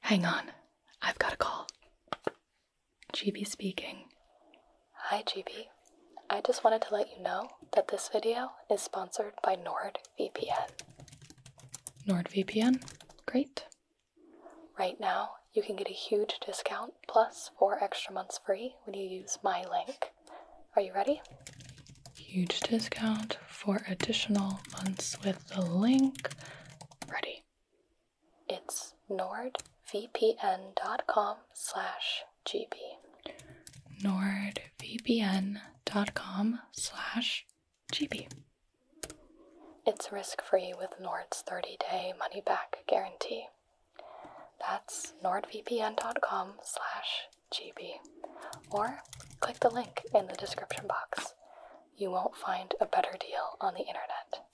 Hang on, I've got a call. GB speaking. Hi, GB. I just wanted to let you know that this video is sponsored by NordVPN. NordVPN? Great. Right now, you can get a huge discount plus four extra months free when you use my link. Are you ready? Huge discount for additional months with the link. Ready. It's nordvpn.com slash gb. nordvpn.com slash gb. It's risk free with Nord's 30 day money back guarantee. That's nordvpn.com slash gb. Or click the link in the description box you won't find a better deal on the internet.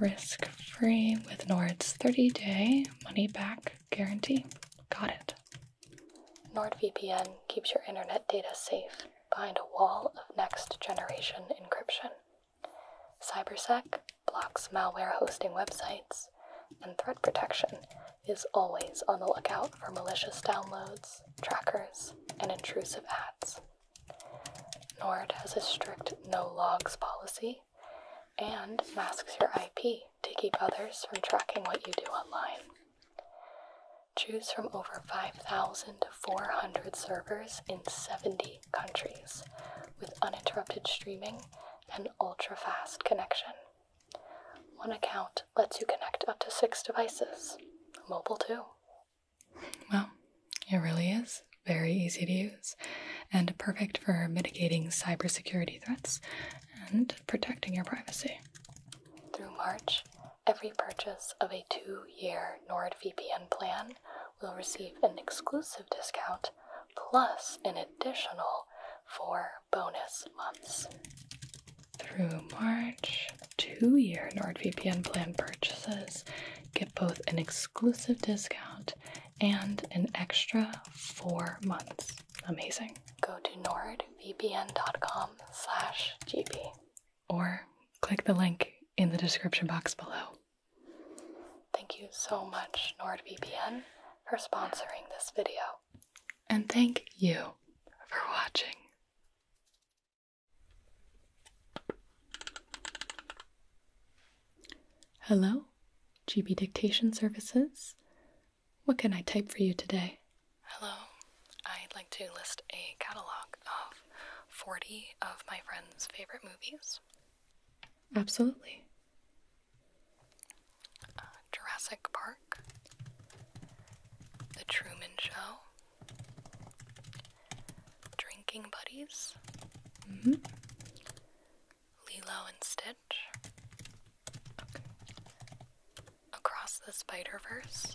Risk free with Nord's 30 day money back guarantee. Got it. NordVPN keeps your internet data safe behind a wall of next generation encryption. CyberSec blocks malware hosting websites, and threat protection is always on the lookout for malicious downloads trackers, and intrusive ads. NORD has a strict no logs policy and masks your IP to keep others from tracking what you do online. Choose from over 5,400 servers in 70 countries with uninterrupted streaming and ultra fast connection. One account lets you connect up to six devices. Mobile, too. Well, it really is very easy to use and perfect for mitigating cybersecurity threats and protecting your privacy. Through March, every purchase of a two year NordVPN plan will receive an exclusive discount plus an additional four bonus months through March, two year NordVPN plan purchases get both an exclusive discount and an extra four months. Amazing. Go to nordvpn.com slash gb or click the link in the description box below. Thank you so much, NordVPN, for sponsoring this video. And thank you for watching. Hello, GB Dictation Services. What can I type for you today? Hello, I'd like to list a catalog of 40 of my friend's favorite movies. Absolutely. Uh, Jurassic Park, The Truman Show, Drinking Buddies, mm-hmm. Lilo and Stitch, Across the Spider Verse,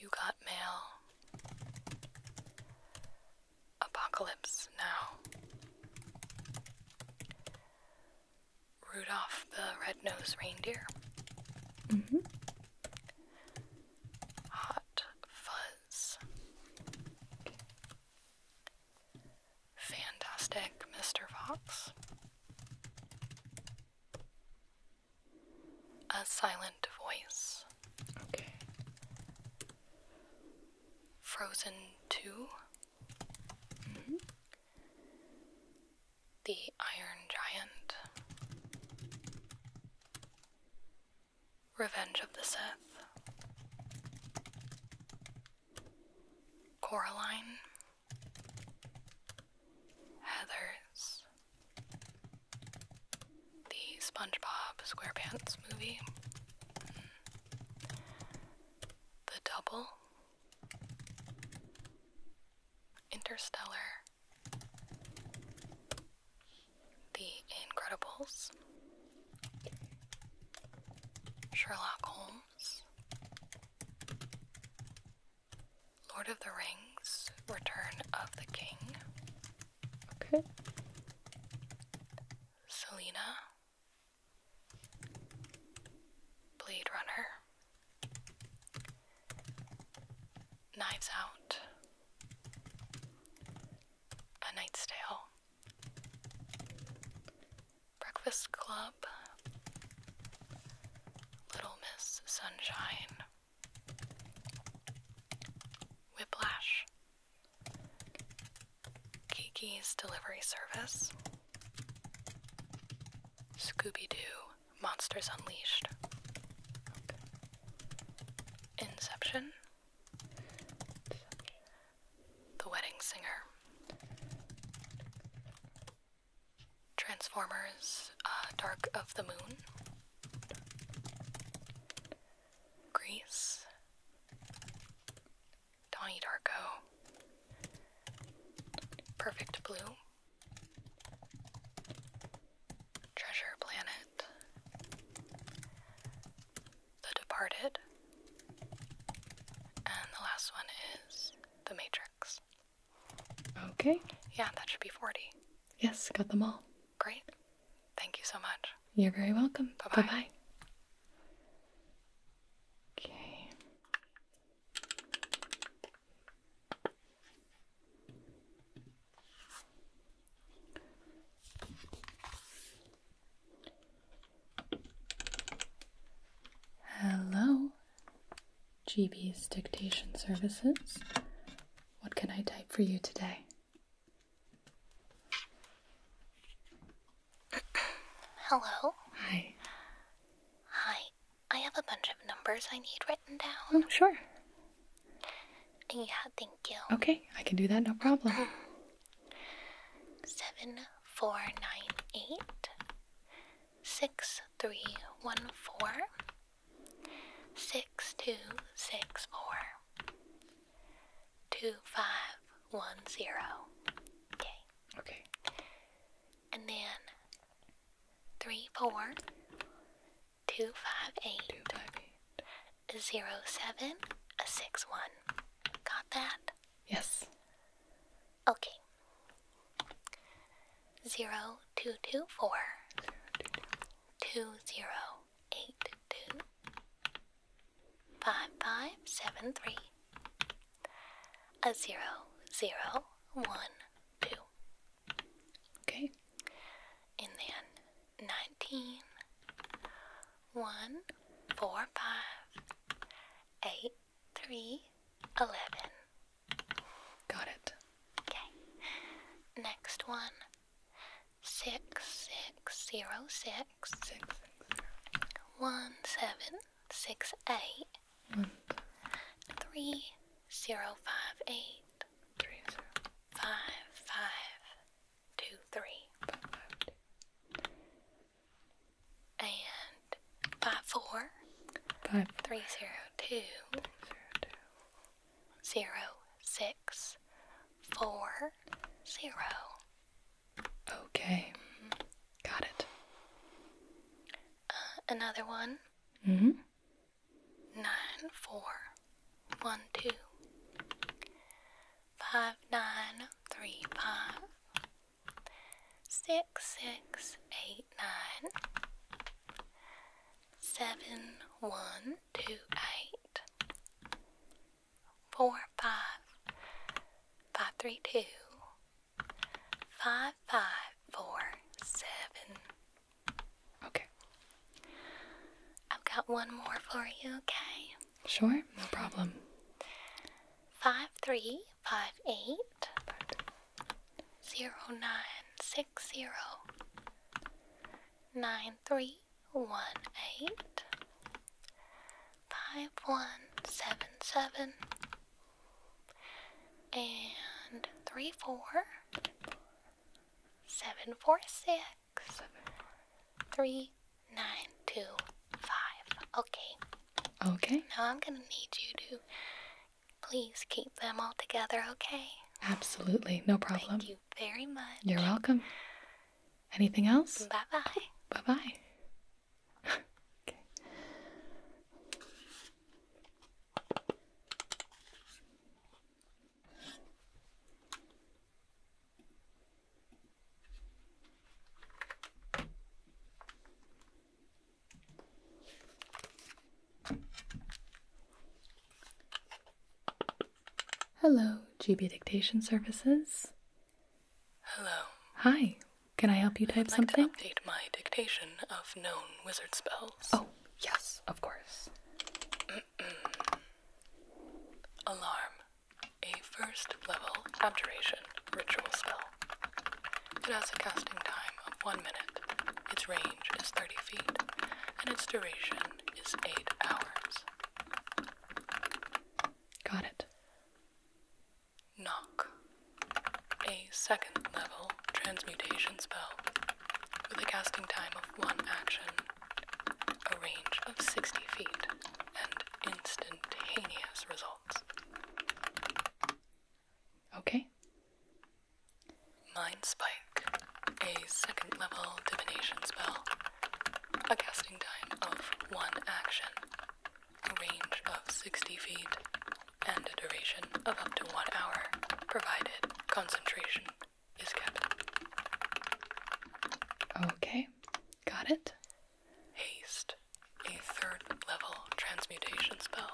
You Got Mail, Apocalypse Now, Rudolph the Red-Nosed Reindeer. Mm-hmm. Hot Fuzz. Fantastic Mr. Fox. A Silent Voice. Okay. Frozen 2. Mm-hmm the Iron Giant, Revenge of the Sith, Coraline, Heathers, the SpongeBob SquarePants movie, The Double. Interstellar, The Incredibles, Sherlock Holmes, Lord of the Rings, Return of the King. Okay. Selena, Blade Runner, Knives Out, A Night's Tale, Breakfast Club, Little Miss Sunshine, Whiplash, Kiki's Delivery Service. Scooby Doo Monsters Unleashed, Inception, The Wedding Singer, Transformers uh, Dark of the Moon, Grease, Donnie Darko, Perfect Blue, Treasure Planet, The Departed, and the last one is The Matrix. Okay. Yeah, that should be 40. Yes, got them all. Great. Thank you so much. You're very welcome. Bye bye. Okay. Hello, GB's Dictation Services. What can I type for you today? Hello? Hi. Hi. I have a bunch of numbers I need written down. Oh, sure. Yeah, thank you. Okay, I can do that, no problem. Seven four nine eight six three one four six two six four two five one zero. Okay. Okay and then three four two five eight two five eight zero seven a six one. Got that? Yes. Okay. Zero two two four two zero eight two five five seven three a zero, zero, one, two. Okay, and then nineteen, one, four, five, eight, three, eleven. Got it. Okay, next one six, six, zero, six, six, six, zero. one, seven, six, eight. Three zero five eight three zero five five two three five, five, two. and five four five three zero two, three, zero, two. Zero, six four zero Okay, got it. Uh, another one. Mm hmm. Nine, four, one, two, five, nine, three, five, six, six, eight, nine, seven, one, two, eight, four, five, five, three, two, Five, five, four, seven. Okay. I've got one more for you, okay? Sure, no problem. Five, three, five, eight, zero, nine, six, zero, nine, three, one, eight, five, one, seven, seven and three, four, seven, four, six, three, nine, two, five. Okay. Okay. Now I'm gonna need you to please keep them all together, okay? Absolutely, no problem. Thank you very much. You're welcome. Anything else? Bye bye. Bye bye. Hello, GB Dictation Services. Hello. Hi. Can I help you type I'd like something? To update my dictation of known wizard spells. Oh, yes, of course. Alarm. A first level abjuration ritual spell. It has a casting time of one minute. Its range is 30 feet, and its duration is 8 hours. Got it. Knock. A second level transmutation spell with a casting time of one action, a range of 60 feet, and instantaneous results. Okay. Mind Spike. A second level divination spell. A casting time of one action, a range of 60 feet, and a duration of up to one hour, provided concentration is kept. Okay, got it. Haste, a third level transmutation spell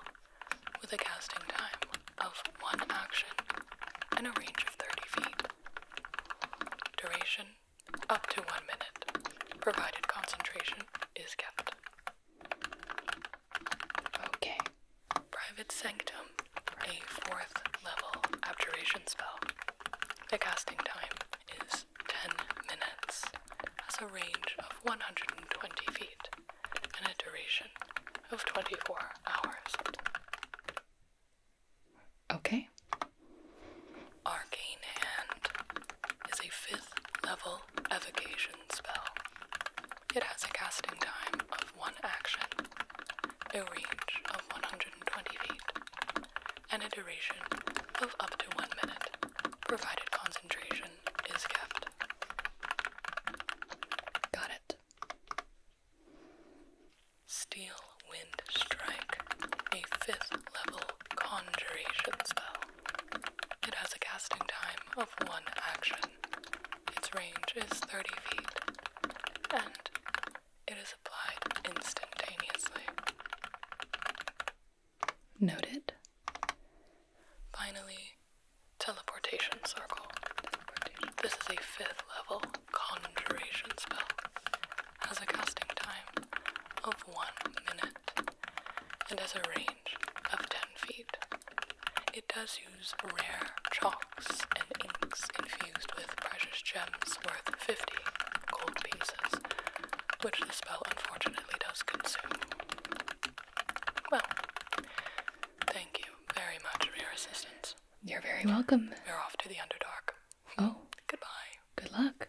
with a casting time of one action and a range of 30 feet. Duration up to one minute, provided concentration is kept. Okay. Private Sanctum, a fourth level abjuration spell. The casting time is 10 minutes, has a range of 120 feet, and a duration of 24 hours. Okay, Arcane Hand is a fifth level evocation spell. It has a casting time of one action, a range of 120 feet, and a duration of up to one minute, provided concentration is kept. Got it. Steel Wind Strike, a fifth level conjuration spell. It has a casting time of one action. Its range is 30 feet, and it is applied instantaneously. Noted. Finally, teleportation circle. This is a fifth level conjuration spell has a casting time of one minute and has a range of 10 feet. It does use rare chalks and inks infused with precious gems worth 50 gold pieces, which the spell unfortunately does consume. Well, thank you very much for your assistance. You're very welcome. We're off to the Underdark. Oh. Goodbye. Good luck.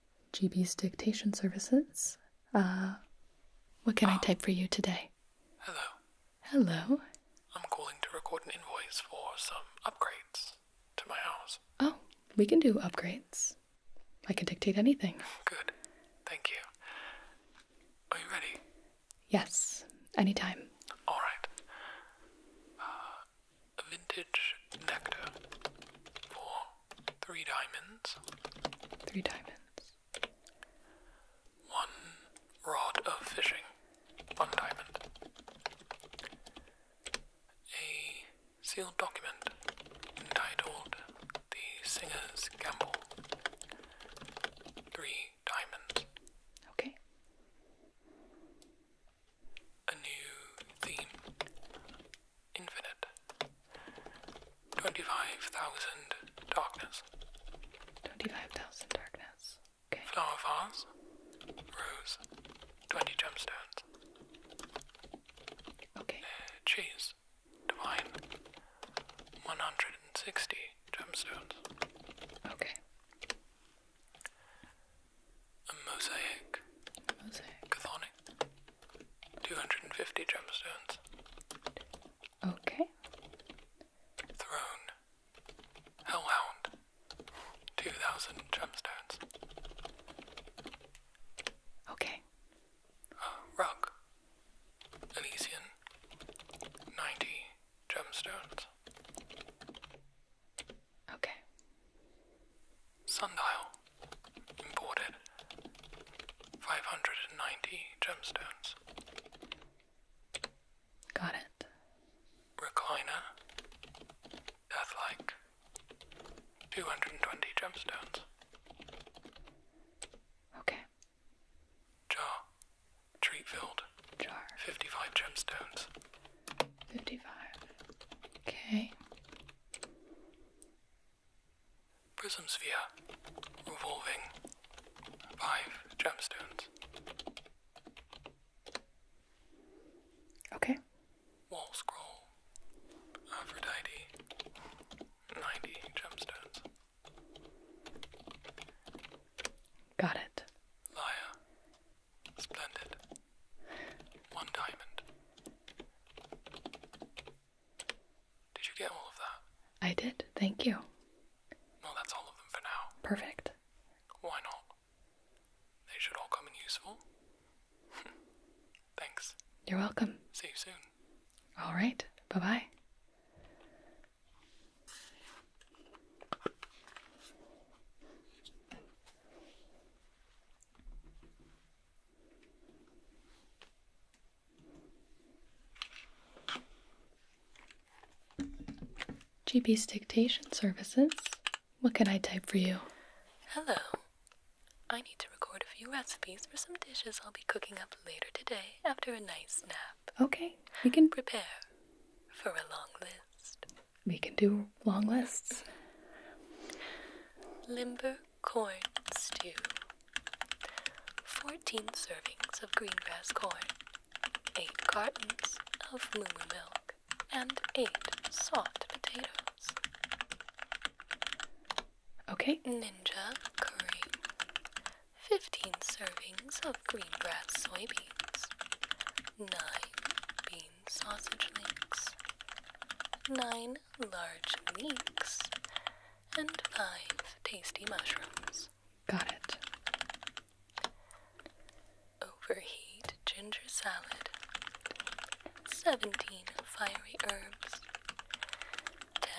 GB's dictation services. Uh, what can I type for you today? Hello. Hello. I'm calling to record an invoice for some upgrades to my house. Oh, we can do upgrades. I can dictate anything. Good. Thank you. Are you ready? Yes, anytime. All right. Uh, vintage nectar for Three diamonds. Three diamonds. One rod of fishing. One diamond. A sealed document entitled The Singer's Gamble. Three diamonds. Okay. A new theme infinite. 25,000 darkness. 25,000 darkness. Okay. Flower vase, rose, 20 gemstones. Okay. Uh, cheese, divine, 160 gemstones. Okay. A mosaic. mosaic. Chthonic. 250 gemstones. Okay. Throne. Hellhound. 2,000 gemstones. Okay. Uh, rug. Elysian. 90 gemstones. Okay. Sundial. Imported. 590 gemstones. Got it. Recliner. Deathlike. 220 gemstones. Okay. Jar. Treat filled. Jar. 55 gemstones. 55. Okay. Prism sphere, revolving, five gemstones. Okay. Wall scroll, Aphrodite, 90 gemstones. Got it. Liar, splendid, one diamond. Did you get all of that? I did, thank you. Well, that's all of them for now. Perfect. Why not? They should all come in useful. Thanks. You're welcome. See you soon. All right, bye bye. GB's dictation services. What can I type for you? Hello. I need to record a few recipes for some dishes I'll be cooking up later today after a nice nap. Okay, we can prepare for a long list. We can do long lists. Limburg corn stew. 14 servings of green grass corn, 8 cartons of Moo milk, and 8 salt potatoes. Okay. Ninja curry. 15 servings of green grass soybeans, 9 bean sausage links, 9 large leeks, and five tasty mushrooms. Got it. Overheat ginger salad, 17 fiery herbs, 10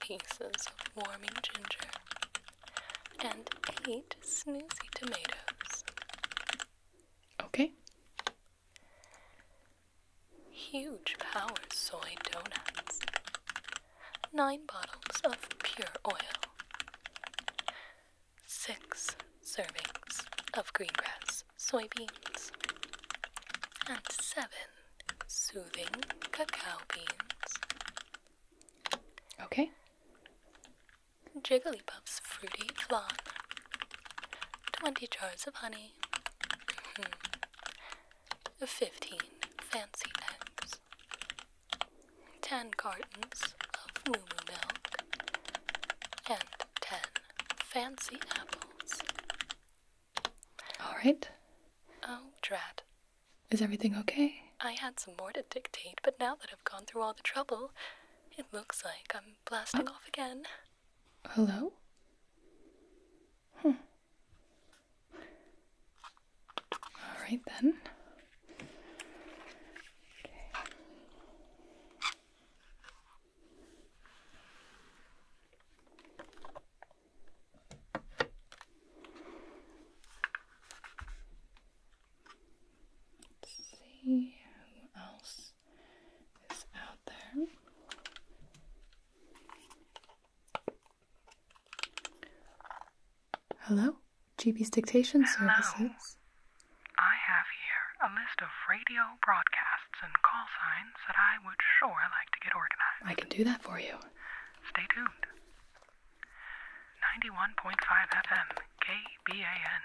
pieces of warming ginger, and 8 snoozy tomatoes. Okay. Huge power soy donuts. Nine bottles of pure oil. Six servings of green grass soybeans. And seven soothing cacao beans. Okay. Jigglypuff's fruity flan. 20 jars of honey. Fifteen fancy eggs. Ten cartons of moo moo milk. And ten fancy apples. Alright. Oh, drat. Is everything okay? I had some more to dictate, but now that I've gone through all the trouble, it looks like I'm blasting oh. off again. Hello? Hmm. All right then. Let's see who else is out there. Hello, GB's dictation services. I have here a list of radio broadcasts and call signs that I would sure like to get organized. I can do that for you. Stay tuned. 91.5 FM, KBAN.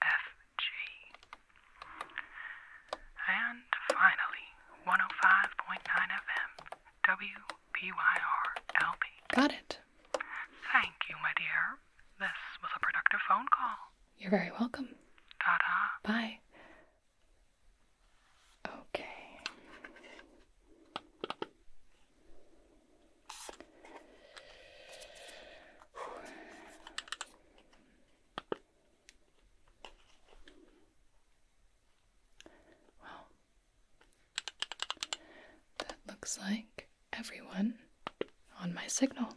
HFG. And finally, 105.9 FM, WPYR Got it. Thank you, my dear. This was a productive phone call. You're very welcome. Ta ta. Bye. Okay. Well, that looks like everyone on my signal.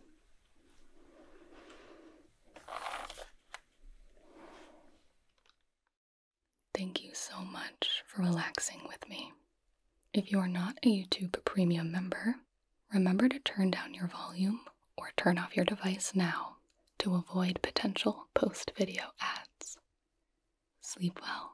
Thank you so much for relaxing with me. If you are not a YouTube Premium member, remember to turn down your volume or turn off your device now to avoid potential post video ads. Sleep well.